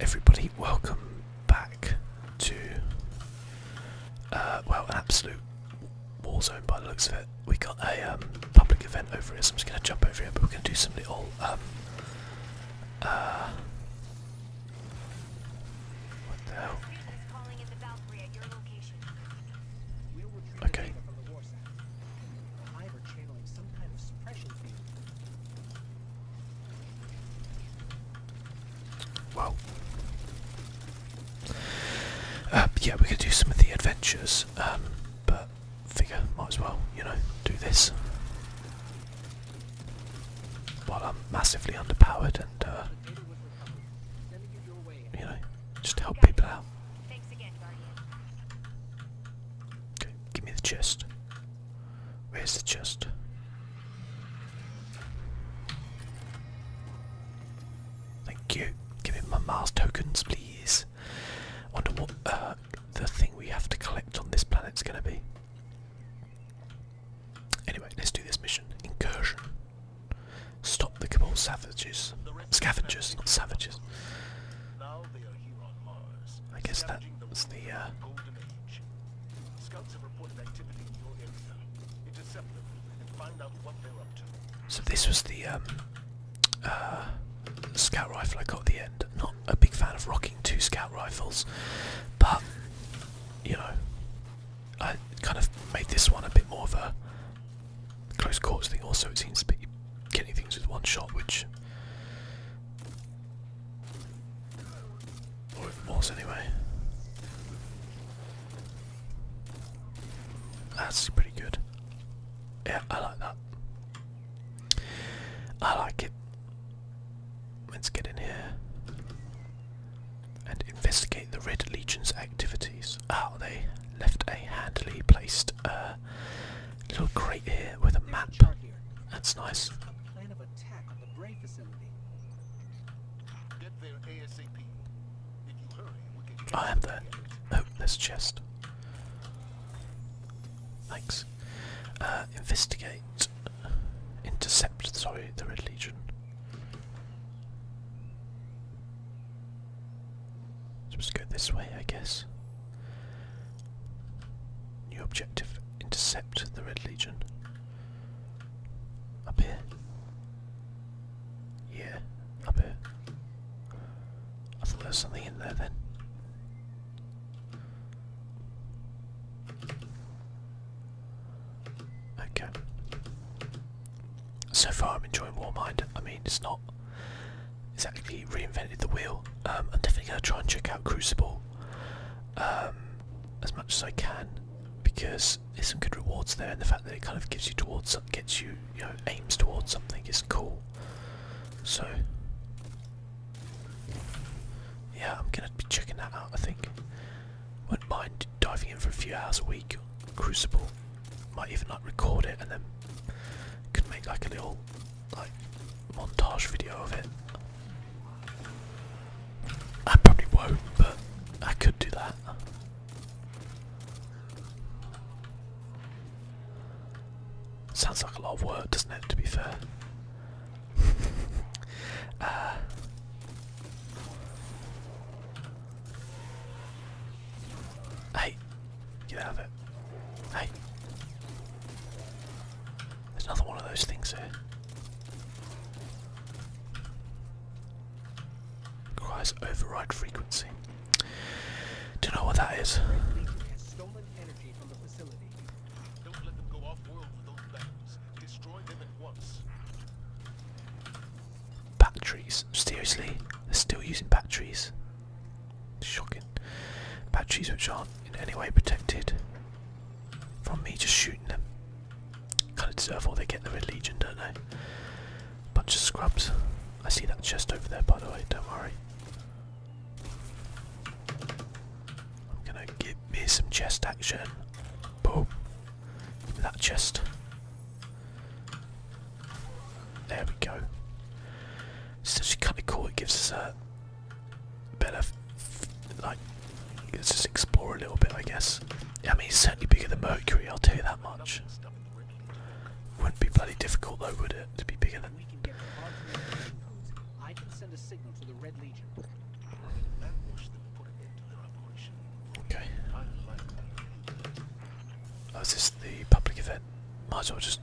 Everybody, welcome back to uh, well, absolute war zone by the looks of it. We got a um, public event over here, so I'm just going to jump over here. But we're going to do some little um, uh, what the hell? Okay. Well, um, yeah, we could do some of the adventures, um, but figure might as well, you know, do this. While I'm massively underpowered and, uh, you know, just help people out. Okay, give me the chest. Where's the chest? Thank you. Give me my Mars tokens, please. wonder what uh, the thing we have to collect on this planet is going to be. Anyway, let's do this mission. Incursion. Stop the Cabal savages. Scavengers, not savages. I guess that's the uh, so this was the um, uh, scout rifle I got at the end. Not a big fan of rocking two scout rifles, but you know, I kind of made this one a bit more of a close quarters thing. Also, it seems to be killing things with one shot, which or it was anyway. That's pretty good. Yeah, I like that. I like it. Let's get in here and investigate the Red Legion's activities. Oh, they left a handily placed uh, little crate here with a map. That's nice plan of the ASAP. If you hurry, I am there. Oh, there's a chest. Thanks. Uh, investigate. Intercept, sorry, the Red Legion. Supposed go this way, I guess. New objective intercept the Red Legion. Up here? Yeah, up here. I thought there was something in there then. Okay. So far I'm enjoying Warmind. I mean it's not It's actually reinvented the wheel. Um, I'm definitely going to try and check out Crucible um, as much as I can because there's some good rewards there, and the fact that it kind of gives you towards, gets you, you know, aims towards something is cool. So, yeah, I'm gonna be checking that out. I think. Wouldn't mind diving in for a few hours a week. Crucible. Might even like record it and then could make like a little like montage video of it. I probably won't, but I could do that. Sounds like a lot of work, doesn't it, to be fair? Uh, hey, get out of it. Hey. There's another one of those things here. Requires override frequency. Do you know what that is? Batteries. Seriously? They're still using batteries. Shocking. Batteries which aren't in any way protected from me just shooting them. Kind of deserve all they get in the Red Legion, don't they? Bunch of scrubs. I see that chest over there, by the way, don't worry. I'm gonna give me some chest action. Boom. Give me that chest. There we go. It's actually kind of cool, it gives us a, better like let's just explore a little bit I guess. I mean it's certainly bigger than Mercury, I'll tell you that much. Wouldn't be bloody difficult though, would it, to be bigger than I can send a signal to the Red Legion. Okay. Oh, is this the public event? Might just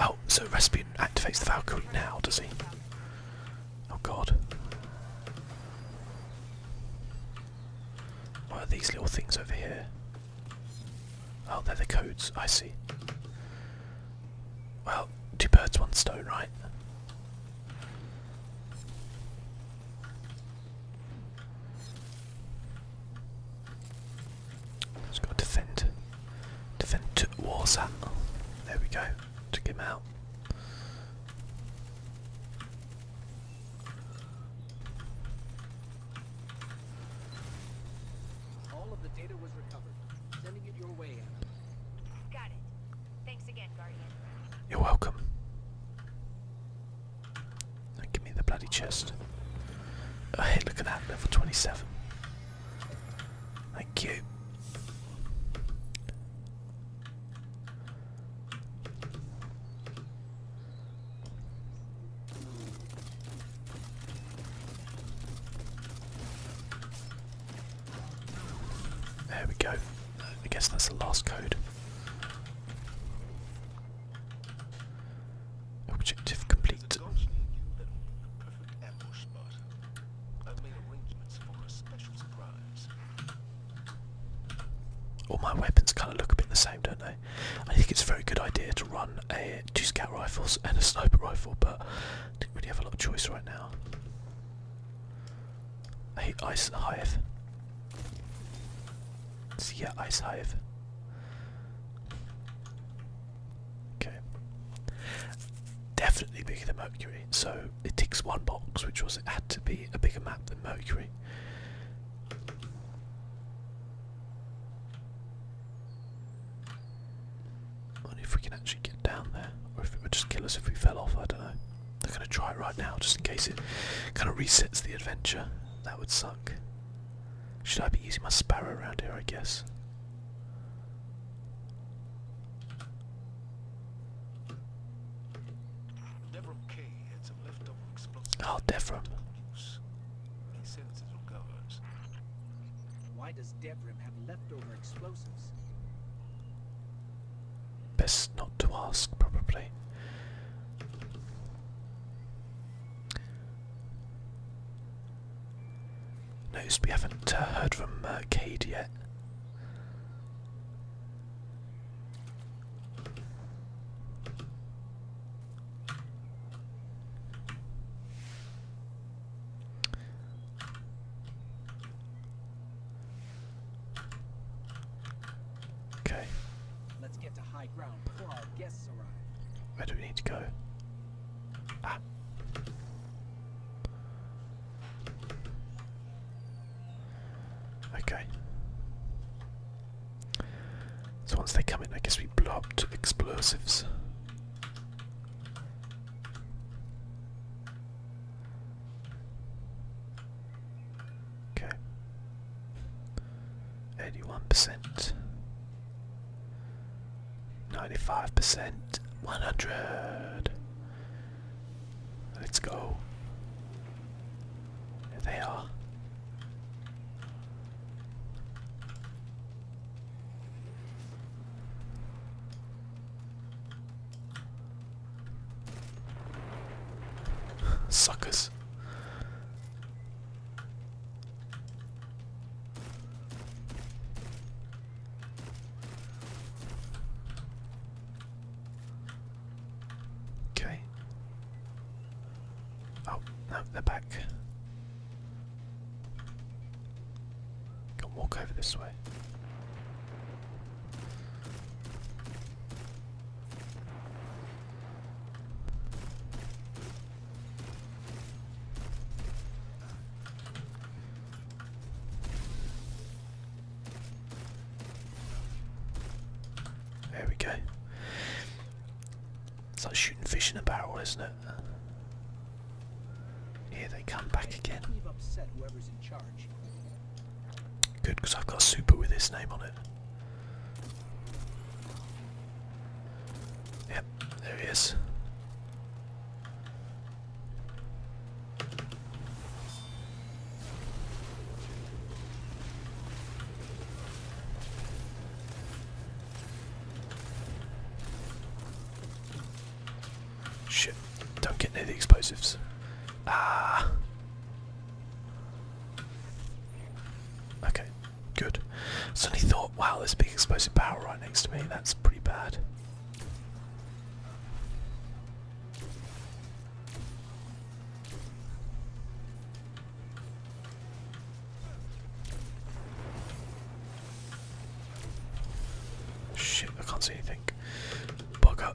Oh, so Rasputin activates the Valkyrie now, does he? Oh god. What are these little things over here? Oh, they're the codes, I see. Well, two birds, one stone, right? Just got to defend. Defend to Warsat. There we go. Took him out. All of the data was recovered. Sending it your way, Anna. Got it. Thanks again, Guardian. You're welcome. give me the bloody chest. Oh, hey, look at that, level 27. Thank you. There we go. I guess that's the last code. Objective complete. All my weapons kind of look a bit the same, don't they? I think it's a very good idea to run a two scout rifles and a sniper rifle, but I didn't really have a lot of choice right now. I hate Ice Hive. See so yeah, Ice Hive. Okay. Definitely bigger than Mercury, so it ticks one box, which was it had to be a bigger map than Mercury. wonder if we can actually get down there, or if it would just kill us if we fell off, I don't know. I'm gonna try it right now, just in case it kind of resets the adventure. That would suck. Should I be using my sparrow around here? I guess. Oh, Devrim. Why does Devrim have leftover explosives? Best not to ask, probably. Noticed we haven't uh, heard from Mercade yet. Okay. Let's get to high ground before our guests arrive. Where do we need to go? Ah. Okay. So once they come in, I guess we blow up to explosives. Okay. Eighty-one percent. Ninety-five percent. One hundred. Let's go. There they are. Suckers. Okay. Oh, no, they're back. Can walk over this way. There we go. It's like shooting fish in a barrel, isn't it? Here they come back again. Good, because I've got a super with his name on it. Yep, there he is. Shit. Don't get near the explosives. Ah. Okay, good. Suddenly thought, wow, there's a big explosive power right next to me. That's pretty bad. Shit, I can't see anything. Bugger.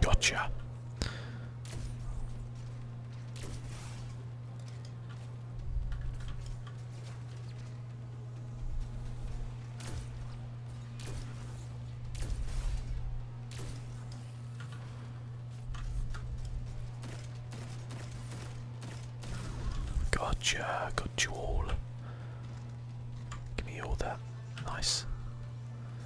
Gotcha. Gotcha, got you all. Give me all that. Nice.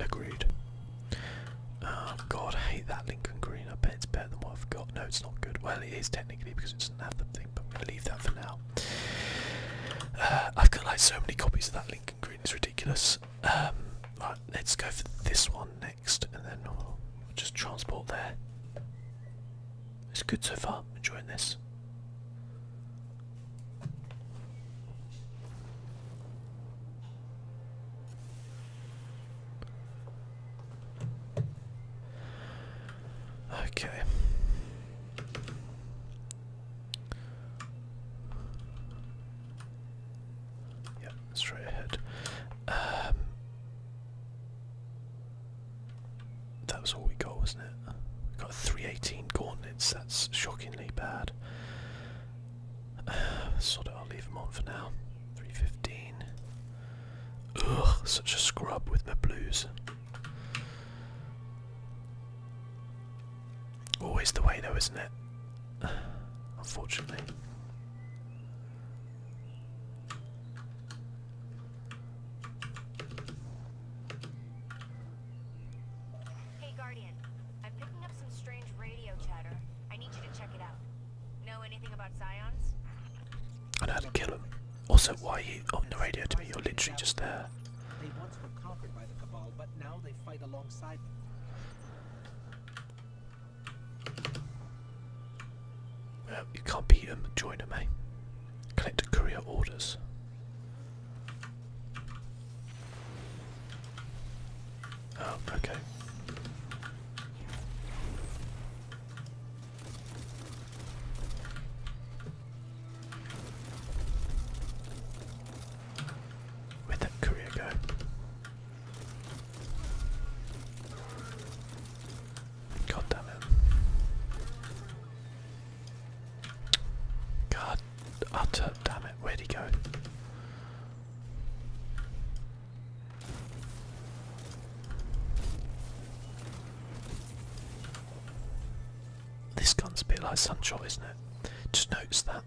Agreed. Oh god, I hate that Lincoln Green. I bet it's better than what I've got. No, it's not good. Well, it is technically because it's doesn't have thing, but I'm going to leave that for now. Uh, I've got like so many copies of that Lincoln Green, it's ridiculous. Um, right, let's go for this one next and then we'll just transport there. It's good so far, enjoying this. Okay. Yeah, straight ahead. Um, that was all we got, wasn't it? We got 318 gauntlets, that's shockingly bad. sort of, I'll leave them on for now. 315. Ugh, such a scrub with my blues. Always the way though, isn't it? Unfortunately. Hey, Guardian. I'm picking up some strange radio chatter. I need you to check it out. Know anything about Zions? I know how to kill them. Also, why are you on the radio to me? You're literally just there. They once were conquered by the Cabal, but now they fight alongside them. you can't beat them. Join them, eh? Connect to courier orders. Oh, okay. Where'd that go? God damn it. God utter damn it, where'd he go? This gun's a bit like Sunshot, isn't it? Just notice that.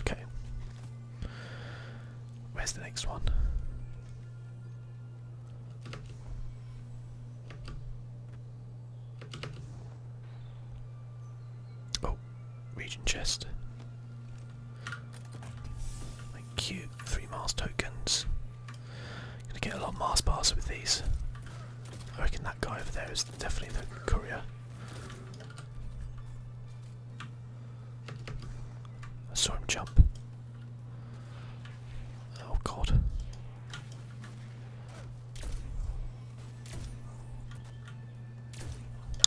Okay. Where's the next one? Oh, region chest. Thank you. Three miles tokens. Gonna get a lot of mass bars with these. I reckon that guy over there is definitely the courier. I saw him jump. Oh god.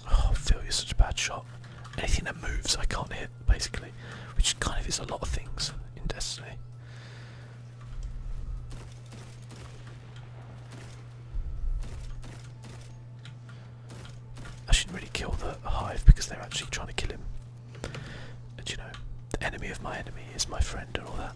Oh, Phil, you're such a bad shot. Anything that moves I can't hit, basically. Which kind of is a lot of things in Destiny. I shouldn't really kill the hive because they're actually trying to kill him. And you know, the enemy of my enemy is my friend and all that.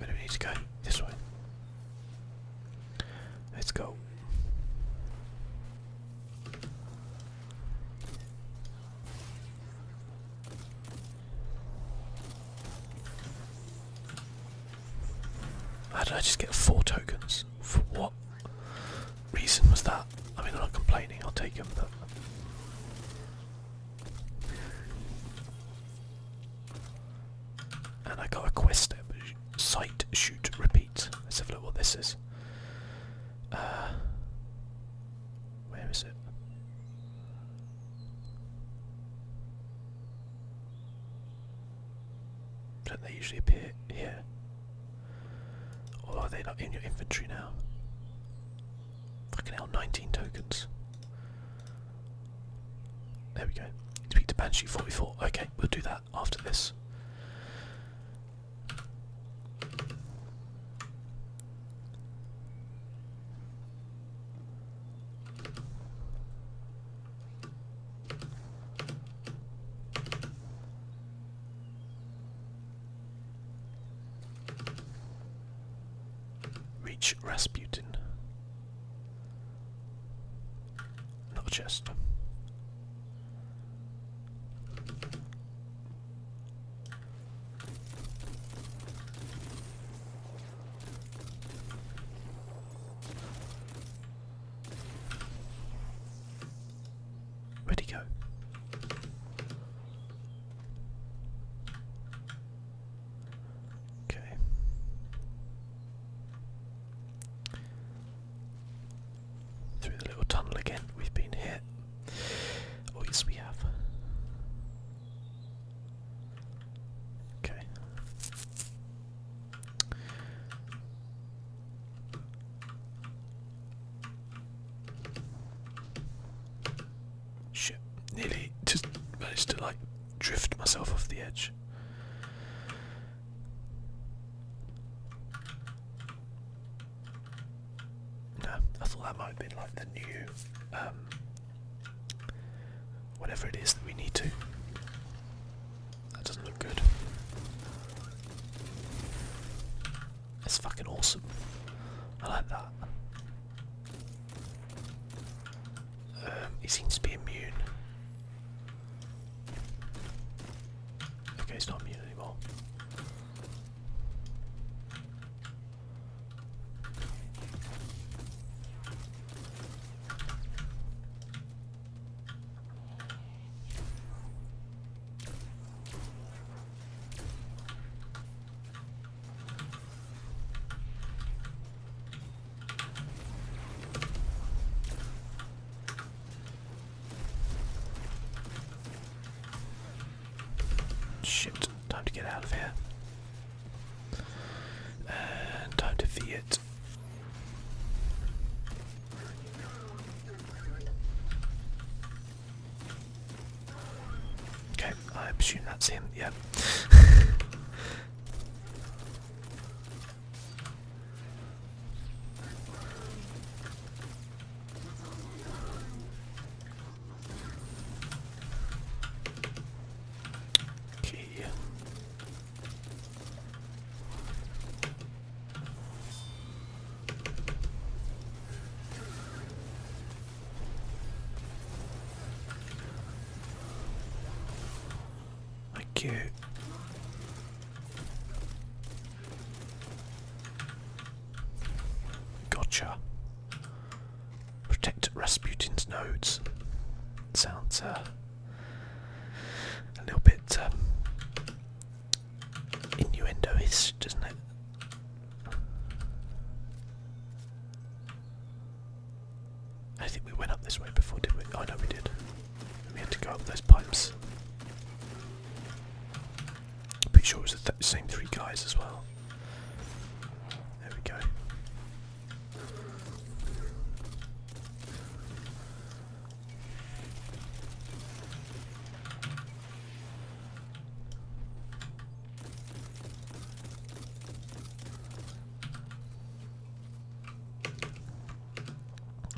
we need to go this way. Let's go. How did I just get four tokens? For what? reason was that? I mean, I'm not complaining, I'll take them. but. And I got a quest step. Sight, shoot, repeat. Let's have a look what this is. Uh, where is it? Don't they usually appear here? Or are they not in your inventory now? Fucking hell, 19 tokens. There we go. Speak to Banshee 44. Okay, we'll do that after this. Reach Rasputin. Another chest. Ready would go? Okay. Through the little tunnel again, we've been hit. Oh, yes, we have. Okay. Shit, nearly just managed to like drift myself off the edge. No, I thought that might have like the new um, whatever it is that we need to. That doesn't look good. It's fucking awesome. I like that. Um, he seems to be immune. Okay, he's not immune anymore. Shit, time to get out of here. And uh, time to V it. Okay, I assume that's him, yeah. Okay. Thank you. Gotcha. Protect Rasputin's nodes. Sounds uh, a little bit um, innuendo is, not it? I think we went up this way before, did we? I oh, know we did. We had to go up those pipes. I'm pretty sure it was the same three guys as well. There we go.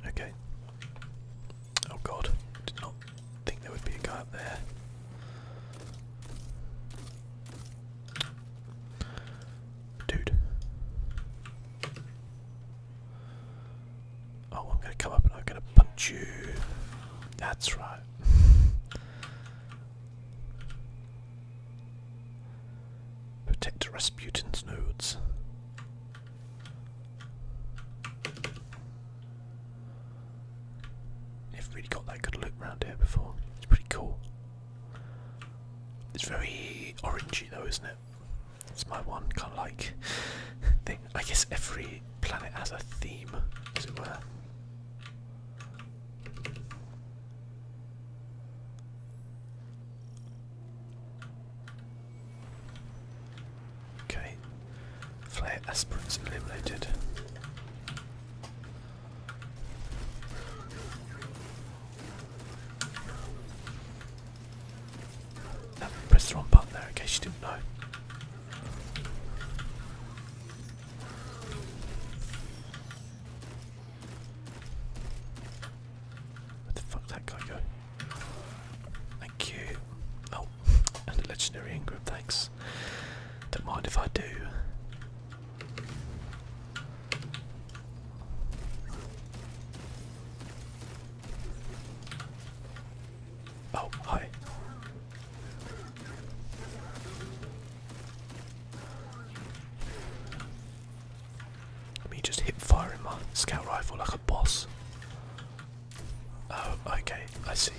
Okay. Oh god, did not think there would be a guy up there. Dude. Oh, I'm gonna come up and I'm gonna punch you. That's right. Protect Rasputin's nodes. Never really got that good a look around here before. It's pretty cool. It's very orangey though, isn't it? It's my one kind of like thing. I guess every planet has a theme, as it were. Okay. Flare aspirants eliminated press the wrong button there in case you didn't know. Where the fuck that guy go? Thank you. Oh, and a legendary Ingram, thanks. Don't mind if I do. Oh, hi. Let me just hip firing my scout rifle like a boss. Oh, okay, I see.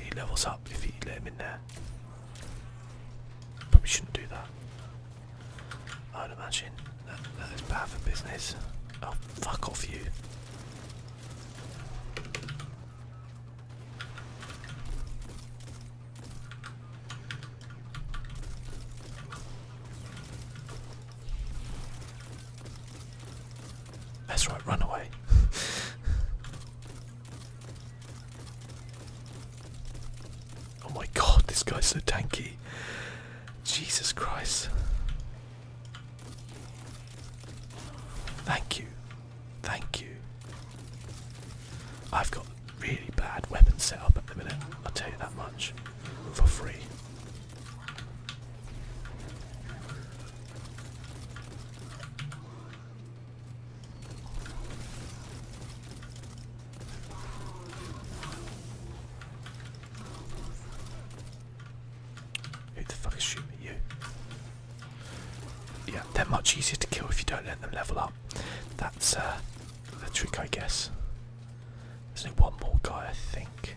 He levels up if you in there. Probably shouldn't do that. I would imagine that, that is bad for business. Oh, fuck off you. That's right, run away. Oh my god, this guy's so tanky. Jesus Christ. Thank you. Thank you. I've got really bad weapons set up at the minute, I'll tell you that much. For free. Who the fuck is shooting at you? Yeah, they're much easier to kill if you don't let them level up. That's uh, the trick, I guess. There's only one more guy, I think.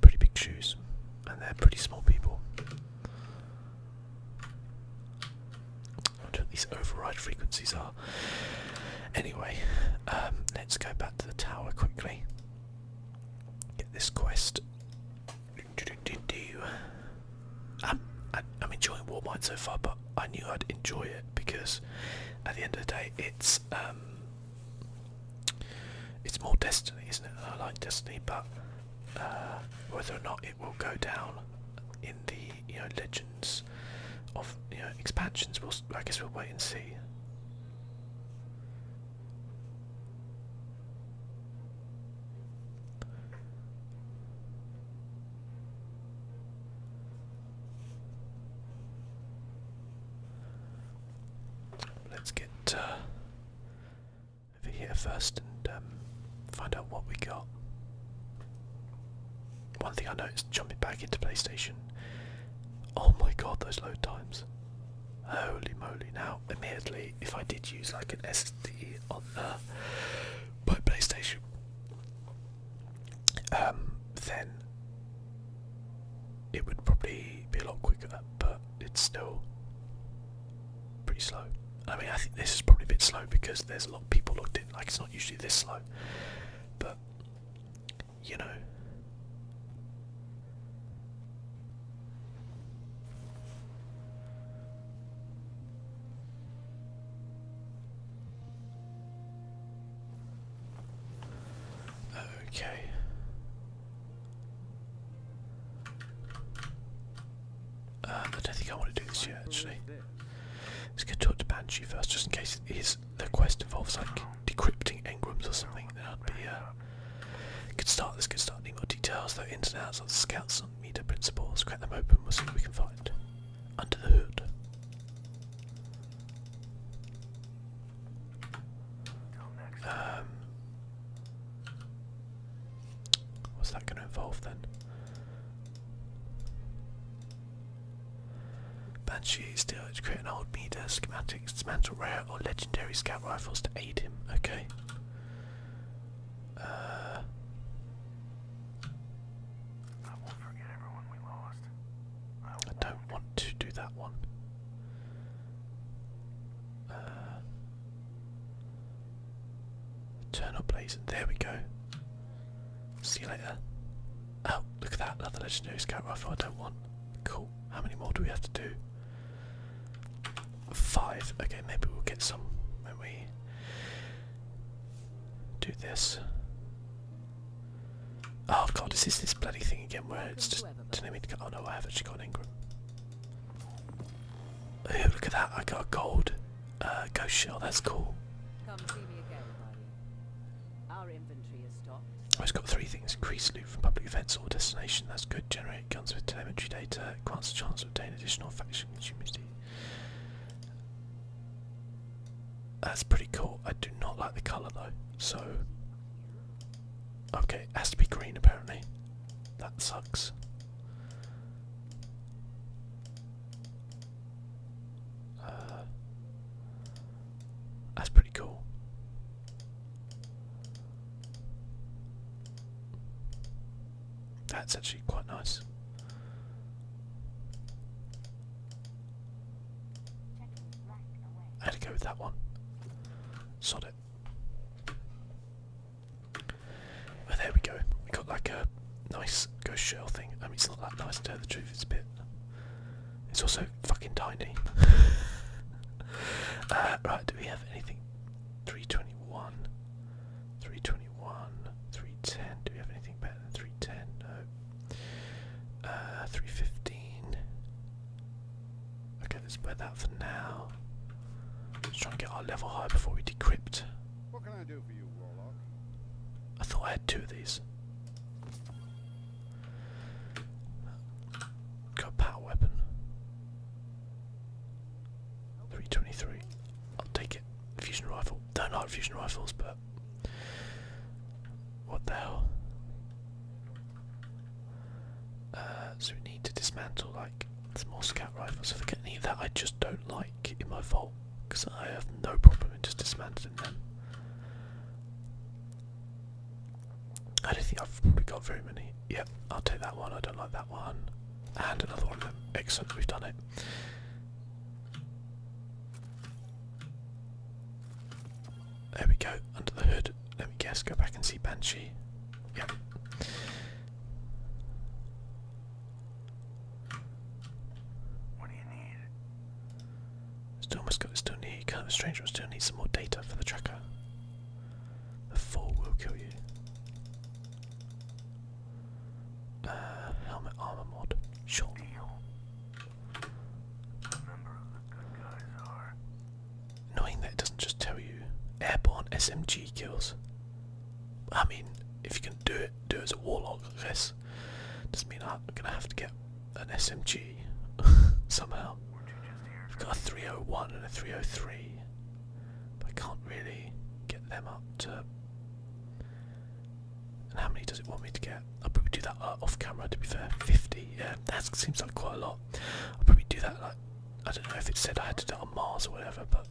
Pretty big shoes, and they're pretty small people. what these override frequencies are. Anyway, um, let's go back to the tower quickly. Get this quest. Um, I, I'm enjoying Warmind so far, but I knew I'd enjoy it because at the end of the day, it's um, it's more Destiny, isn't it? like Destiny, but uh, whether or not it will go down in the you know Legends of you know expansions, I guess we'll wait and see. Let's get uh, over here first and um, find out what we got. One thing I noticed jumping back into PlayStation. Oh my god, those load times. Holy moly. Now, admittedly, if I did use like an SD on uh, my PlayStation, um, then it would probably be a lot quicker, but it's still pretty slow. I mean, I think this is probably a bit slow because there's a lot of people logged in. Like, it's not usually this slow, but you know. Okay. Uh, I don't think I want to do this yet, actually. Let's go talk to Banshee first, just in case his, the quest involves like decrypting engrams or something. Then I'd be uh, good start. This could start needing more details, though ins and outs of the scouts and meter principles. Crack them open. We'll see what we can find under the hood. Um, what's that going to involve then? Banshee still to create an old meter schematics, dismantle rare or legendary scout rifles to aid him. Okay. Uh, I don't want to do that one. Uh, turn up, please. There we go. See you later. Oh, look at that. Another legendary scout rifle I don't want. Cool. How many more do we have to do? Five. Okay, maybe we'll get some when we do this. Oh god, this is this bloody thing again where it's just just didn't mean to get. Oh no, I have actually got an Ingram. look at that! I got a gold uh, ghost shell. That's cool. Our inventory is stocked. Oh, it's got three things: increase loot from public events or destination. That's good. Generate guns with telemetry data. Grants a chance to obtain additional faction immunity. That's pretty cool. I do not like the colour though, so Okay, it has to be green apparently. That sucks. Uh, that's pretty cool. That's actually quite nice. I had to go with that one. So nailed there we go. We got like a nice ghost shell thing. I mean, it's not that nice to tell the truth. It's a bit. It's also fucking tiny. Uh, right? Do we have anything? Three twenty-one. Three twenty-one. Three ten. Do we have anything better than three ten? No. Uh, three fifteen. Okay, let's put that for now. Let's try and get our level high before we decrypt. What can I do for you, Warlock? I thought I had two of these. Got power weapon. 323. I'll take it. Fusion rifle. Don't like fusion rifles, but what the hell? Uh, so we need to dismantle like small scout rifles. If I get any that I just don't like in my vault, because I have no problem in just dismantling them. I don't think I've probably got very many. Yep, I'll take that one. I don't like that one. And another one of them. Excellent, we've done it. There we go, under the hood. Let me guess, go back and see Banshee. Yeah. What do you need? Still almost got still need kind still need some more data for the tracker. The fall will kill you. Uh, helmet armor mod. Sure. Knowing that it doesn't just tell you airborne SMG kills. I mean, if you can do it, do it as a warlock, I guess. Doesn't mean I'm gonna have to get an SMG somehow. I've got a 301 and a 303, I can't really get them up to. And how many does it want me to get? I'll probably do that uh, off camera to be fair. 50, yeah, that seems like quite a lot. I'll probably do that like I don't know if it said I had to do it on Mars or whatever, but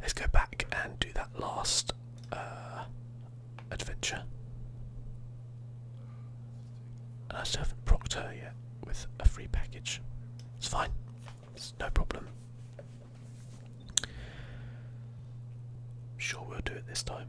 let's go back and do that last uh, adventure. And I still have with a free package. It's fine. It's no problem. I'm sure we'll do it this time.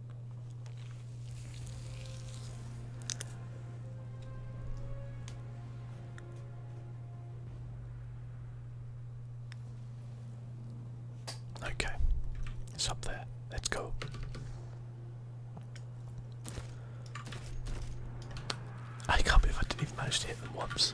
Okay, it's up there. Let's go. I can't believe I didn't even manage to hit them once.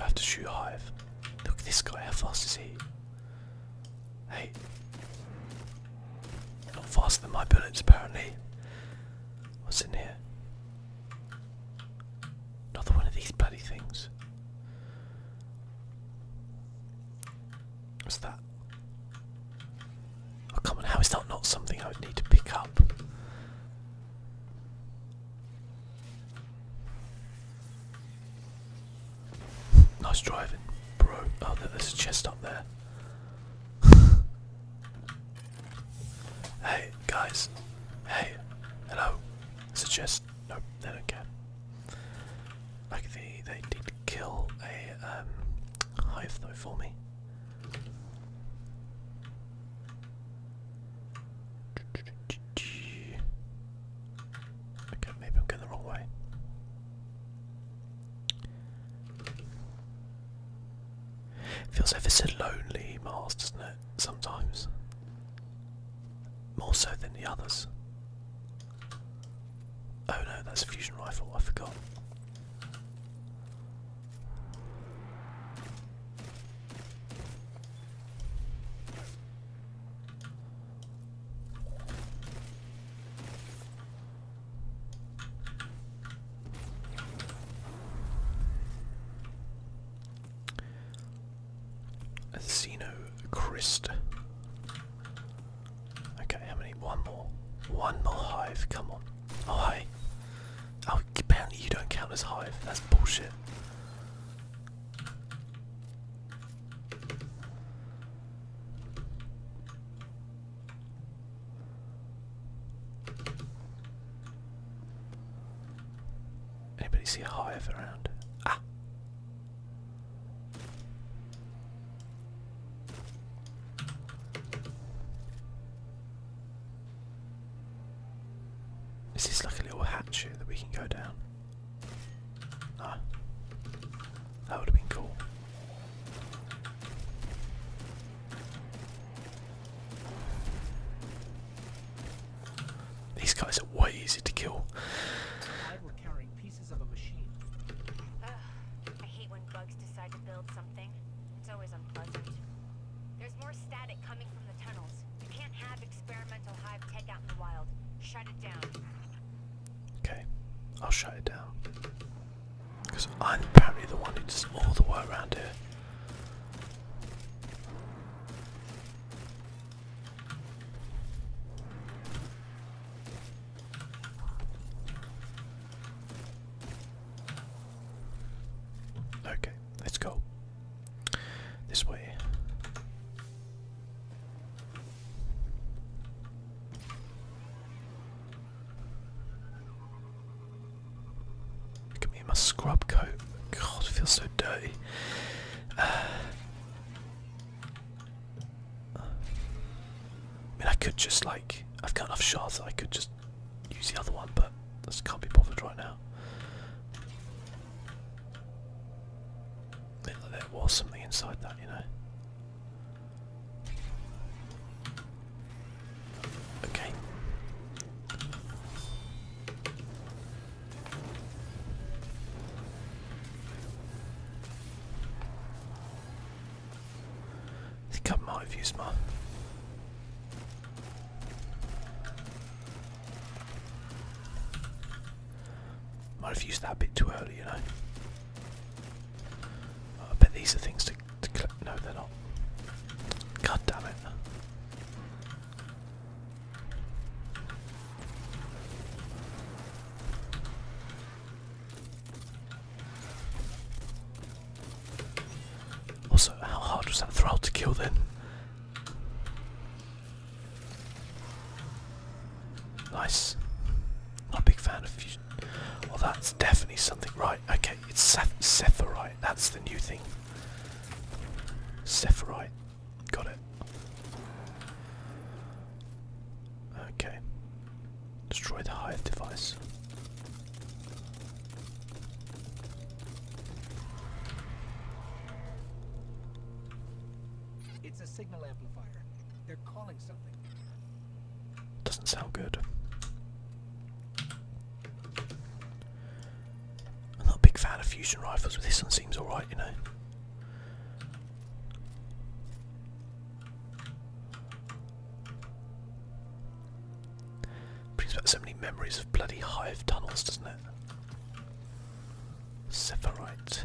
I have to shoot Hive. Look at this guy, how fast is he? Hey. Not faster than my bullets apparently. What's in here? Another one of these bloody things. What's that? Oh, come on, how is that not something I would need to pick up? Nice driving, bro. Oh, there's a chest up there. hey, guys. Hey, hello. There's a chest. Nope, Like, they, they did kill a um, hive, though, for me. Okay, maybe I'm going the wrong way. It feels ever so lonely, Mars, doesn't it? Sometimes. More so than the others. Oh no, that's a fusion rifle, I forgot. Xeno Christ. Okay, how many? One more. One more hive, come on. Oh hi. Oh, apparently you don't count as hive. That's bullshit. Anybody see a hive around? Ah. Is this like a little hatch here that we can go down? No. That would have been cool. These guys are way easy to kill. It's always unpleasant. There's more static coming from the tunnels. You can't have experimental hive tech out in the wild. Shut it down. Okay, I'll shut it down. Because I'm apparently the one who does all the work around here. Okay, let's go. This way. Look at me in my scrub coat. God, it feels so dirty. I mean, I could just like I've got enough shots. I could just use the other one, but this can't be bothered right now. There, there was something inside that, you know. Okay. I think I might have used my. Might have used that a bit too early, you know. I bet these are things to, to collect. No, they're not. God damn it. Also, how hard was that thrall to kill then? Nice. Not a big fan of Well, that's definitely something. Right, okay, it's Seth Sephiroth. That's the new thing. Sephiroth. Got it. Okay. Destroy the hive device. It's a signal amplifier. They're calling something. Doesn't sound good. I'm not a big fan of fusion rifles, but this one seems alright, you know. Brings back so many memories of bloody hive tunnels, doesn't it? Sepharite.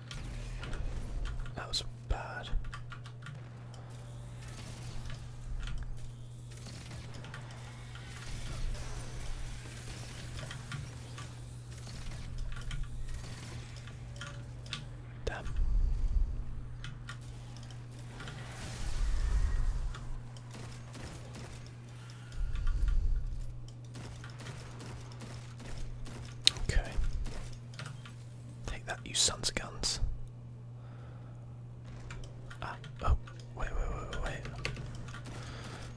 That was bad. Damn. Okay. Take that, you sons of guns. Ah, oh, wait, wait, wait, wait,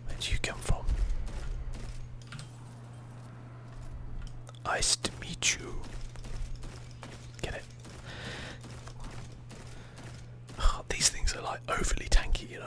Where did you come from? Nice to meet you. Get it? Oh, these things are like overly tanky, you know.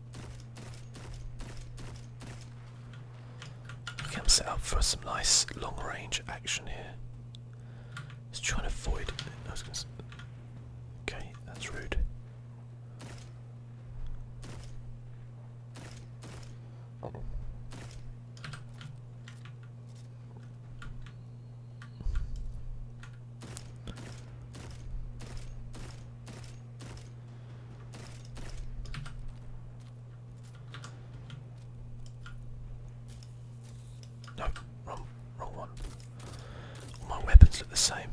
Okay, I'm set up for some nice long range action here. Let's try and avoid. I okay, that's rude. Oh. No, wrong, wrong one. All my weapons look the same.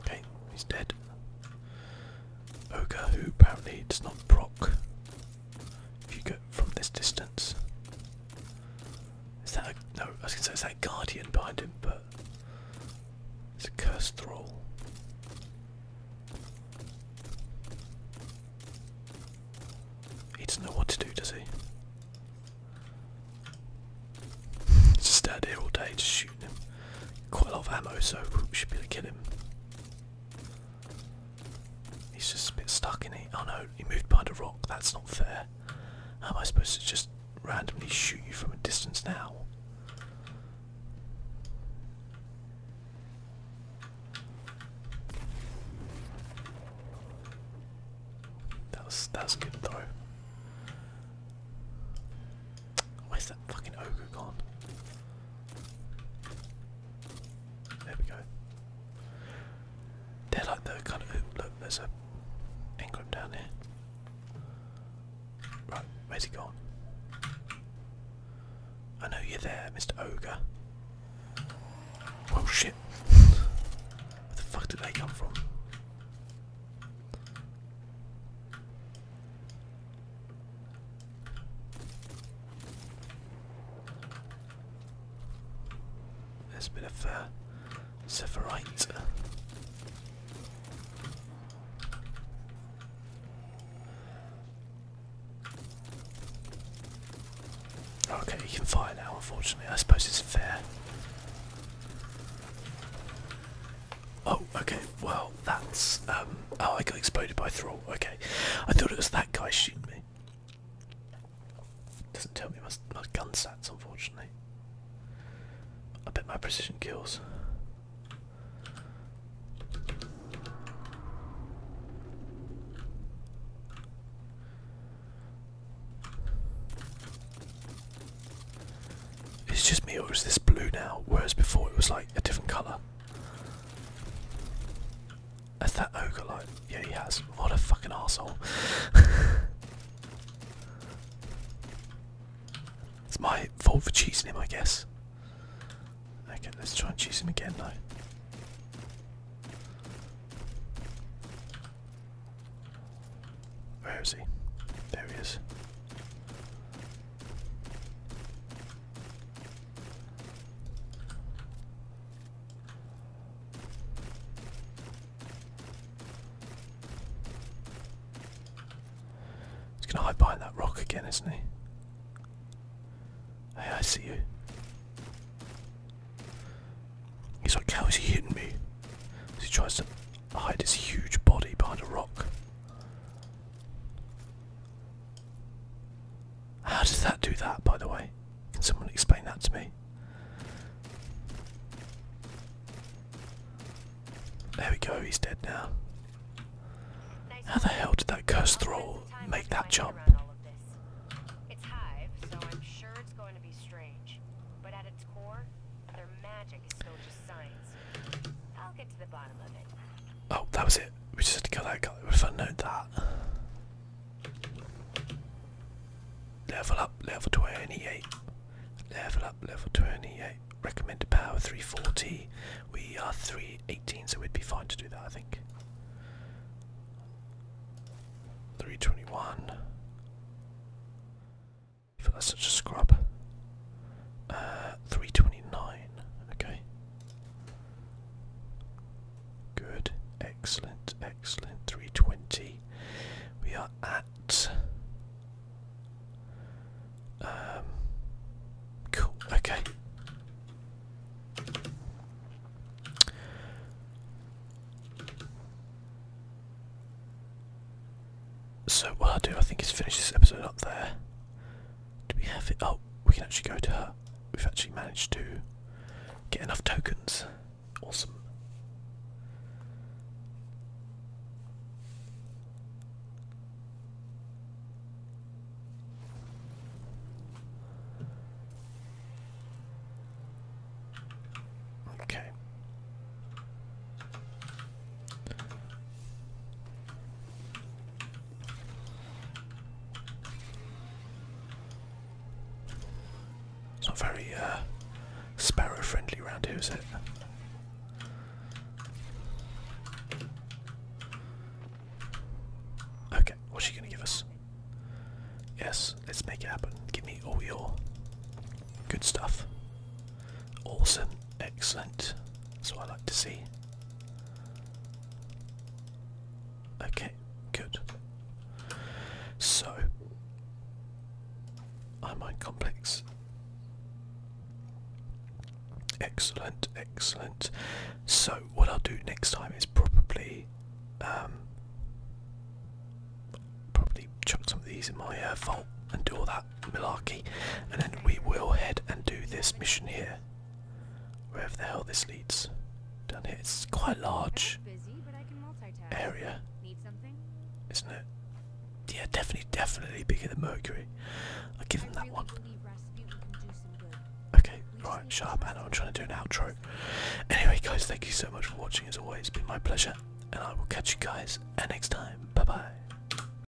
Okay, he's dead ogre who apparently does not proc if you get from this distance. Is that a, no? I was gonna say is that a guardian behind him, but it's a cursed thrall. He doesn't know what to do, does he? Just stand here all day, just shooting him. Quite a lot of ammo, so we should be able to kill him. He's just a bit stuck in it. Oh no, he moved behind a rock. That's not fair. How am I supposed to just randomly shoot you from a distance now? That was that's good though. Where's that fucking ogre gone? There we go. They're like the kind of oh, look. There's an ingram down there. Right, where's he gone? I know you're there, Mr. Ogre. Oh shit. Where the fuck did they come from? There's a bit of uh, sephirite. Okay, you can fire now, unfortunately. I suppose it's fair. Oh, okay. Well, that's um, Oh, I got exploded by Thrall. Okay, I thought it was that guy shooting me. Doesn't tell me my, my gun stats, unfortunately. I bet my precision kills. It's just me, or is this blue now? Whereas before it was like a different colour. Is that ogre oh, like? Yeah, he has. What a fucking asshole. it's my fault for cheating him, I guess. Okay, let's try and chase him again though. Where is he? There he is. He's gonna hide behind that rock again, isn't he? Hey, I see you. He's like, how is he hitting me? As he tries to hide his huge body behind a rock. How does that do that, by the way? Can someone explain that to me? There we go, he's dead now. How the hell did that cursed thrall make that jump? It's hive, so I'm sure it's going to be strange. But at its core, their magic is still just science. Oh, that was it. We just had to kill that guy. If I know that. Level up, level 28. Level up, level 28. Recommended power 340. We are 318, so we'd be fine to do that, I think. 321. I feel that's such a scrub. Uh, 329. Okay. Good. Excellent. Excellent. 320. We are at. Um, cool. Okay. So what I'll do, I think, is finish this episode up there. Do we have it? Oh, we can actually go to her. We've actually managed to get enough tokens. Awesome. Okay. It's not very uh, sparrow friendly around here, is it? Okay, what's she gonna give us? Yes, let's make it happen. Give me all your good stuff. Awesome. Excellent. That's I like to see. Okay, good. So, iron complex. Excellent, excellent. So, what I'll do next time is probably, um, probably chuck some of these in my uh, and do all that malarkey, and then we will head and do this mission here. Wherever the hell this leads. Down here, it's quite a large area, isn't it? Yeah, definitely, definitely bigger than Mercury. I'll give him that one. Okay, right, shut up, Anna. I'm trying to do an outro. Anyway, guys, thank you so much for watching. As always, it's been my pleasure, and I will catch you guys next time. Bye bye.